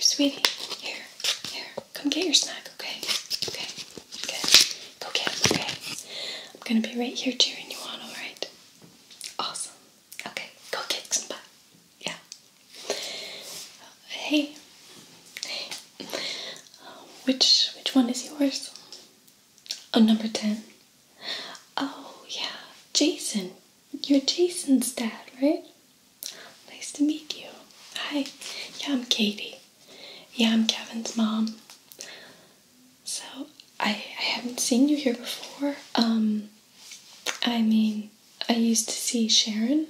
sweetie. Here, here. Come get your snack, okay? Okay, good. Go get him, okay? I'm gonna be right here cheering you on, alright? Awesome. Okay, go get some butt. Yeah. hey. which, which one is yours? Oh, number 10. Oh, yeah. Jason. You're Jason's dad, right? Nice to meet you. Hi. Yeah, I'm Katie. Yeah, I'm Kevin's mom. So I I haven't seen you here before. Um, I mean, I used to see Sharon.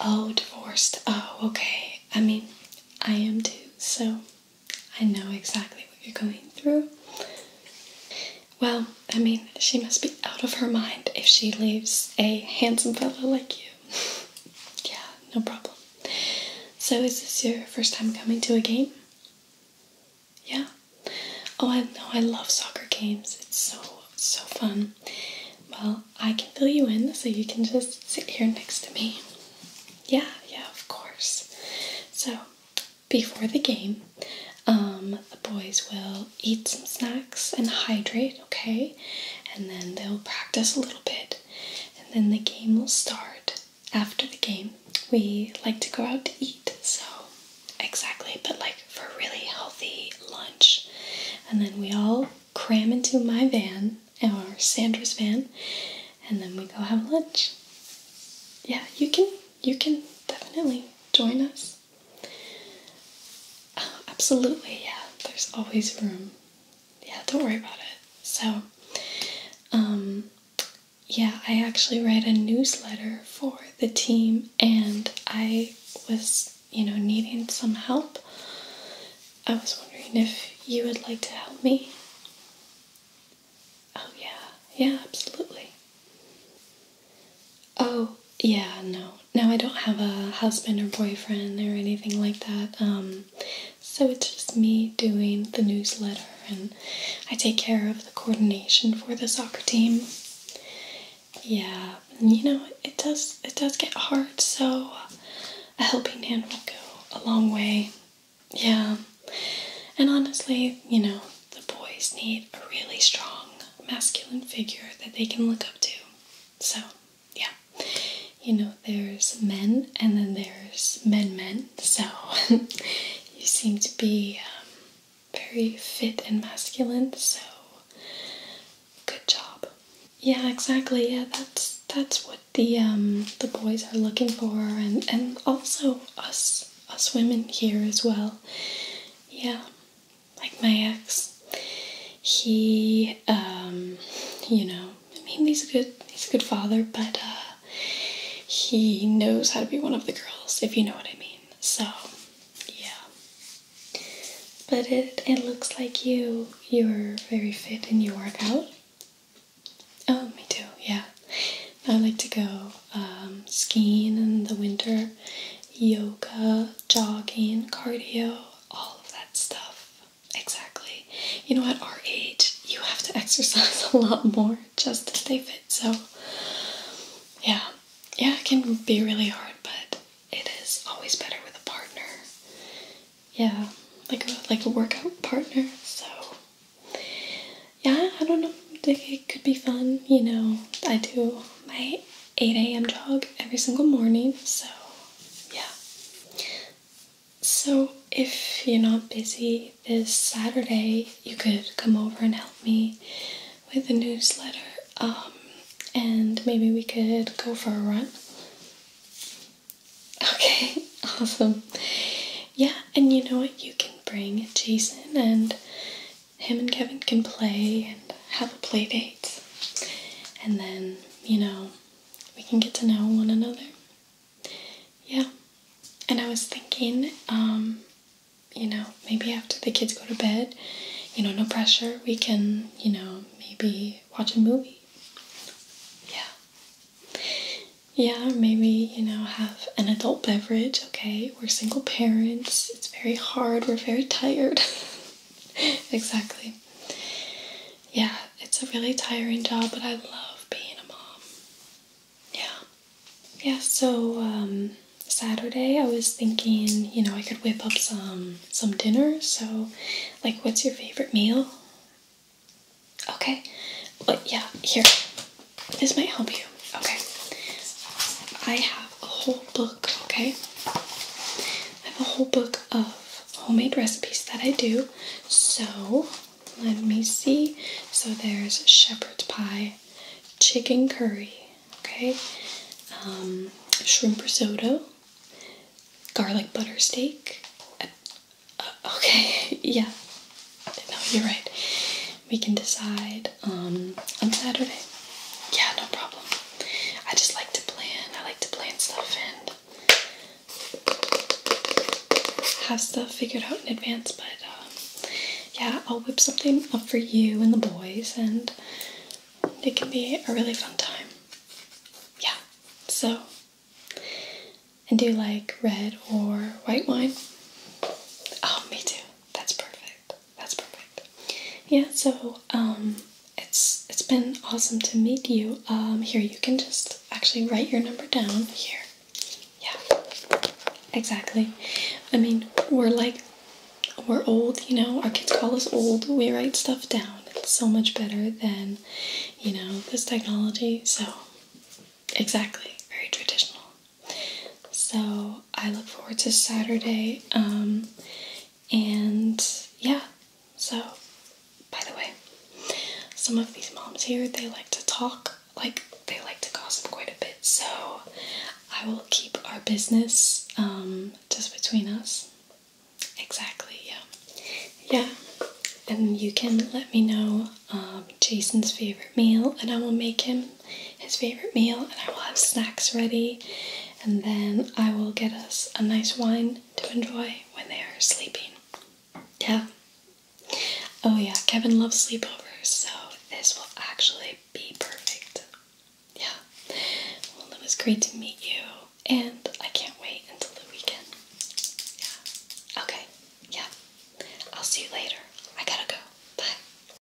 Oh, divorced. Oh, okay. I mean, I am too. So I know exactly what you're going through. Well, I mean, she must be out of her mind if she leaves a handsome fellow like you. yeah, no problem. So, is this your first time coming to a game? Yeah. Oh, I know. I love soccer games. It's so so fun. Well, I can fill you in, so you can just sit here next to me. Yeah, yeah, of course. So, before the game, um, the boys will eat some snacks and hydrate, okay? And then they'll practice a little bit, and then the game will start. After the game, we like to go out to eat, so exactly, but like for a really healthy lunch. And then we all cram into my van or Sandra's van, and then we go have lunch. Yeah, you can you can definitely join us. absolutely, yeah. There's always room. Yeah, don't worry about it. So, um, yeah, I actually write a newsletter for the team, and I was, you know, needing some help. I was wondering if you would like to help me. Oh, yeah, yeah, absolutely. Oh, yeah, no. Now I don't have a husband or boyfriend or anything like that. Um, so it's just me doing the newsletter and I take care of the coordination for the soccer team. Yeah, you know, it does it does get hard, so a helping hand will go a long way. Yeah. And honestly, you know, the boys need a really strong masculine figure that they can look up to. So, yeah. You know, there's men and then there's men men. So, you seem to be um, very fit and masculine. So, good job. Yeah, exactly. Yeah, that's that's what the um, the boys are looking for and and also us us women here as well. Yeah like my ex, he, um, you know, I mean, he's a good, he's a good father, but uh, he knows how to be one of the girls, if you know what I mean. So, yeah. But it, it looks like you, you're very fit and you work out. Oh, me too, yeah. I like to go um, skiing in the winter, yoga, jogging, cardio, all of that stuff. Exactly. You know, at our age, you have to exercise a lot more just to stay fit. So, yeah, yeah, it can be really hard, but it is always better with a partner. Yeah, like a, like a workout partner. So, yeah, I don't know. It could be fun, you know. I do my 8 a.m. jog every single morning, so yeah. So, if you're not busy this Saturday, you could come over and help me with the newsletter, um, and maybe we could go for a run. Okay, awesome. Yeah, and you know what? You can bring Jason and him and Kevin can play and have a play date. And then, you know, we can get to know one another. Yeah. And I was thinking, um, you know, maybe after the kids go to bed, you know, no pressure, we can, you know, maybe watch a movie. Yeah. Yeah, maybe, you know, have an adult beverage, okay? we are single parents. It's very hard. We're very tired. exactly. Yeah, it's a really tiring job, but I love being a mom. Yeah. Yeah, so um, Saturday I was thinking, you know, I could whip up some some dinner. So like what's your favorite meal? Okay. But yeah, here. This might help you. Okay. I have a whole book, okay? I have a whole book of homemade recipes that I do. So, let me see. So, there's shepherd's pie, chicken curry, okay? Um, shrimp risotto, garlic butter steak. Uh, uh, okay, yeah. No, you're right we can decide um, on Saturday. Yeah, no problem. I just like to plan. I like to plan stuff and have stuff figured out in advance. But um, yeah, I'll whip something up for you and the boys, and it can be a really fun time. Yeah, so. And do you like red or white wine? Oh, me too. That's perfect that's perfect. Yeah, so um, it's it's been awesome to meet you. Um here you can just actually write your number down here. Yeah. Exactly. I mean, we're like we're old, you know, our kids call us old. We write stuff down. It's so much better than, you know, this technology. So exactly. Very traditional. So I look forward to Saturday. Um, and yeah, so by the way, some of these moms here they like to talk, like they like to gossip quite a bit. So I will keep our business um, just between us. Exactly. Yeah. Yeah. And you can let me know um, Jason's favorite meal, and I will make him his favourite meal, and I will have snacks ready, and then I will get us a nice wine to enjoy when they are sleeping. Yeah. Oh, yeah, Kevin loves sleepovers, so this will actually be perfect. Yeah. Well, it was great to meet you, and I can't wait until the weekend. Yeah. Okay. Yeah. I'll see you later. I gotta go. Bye.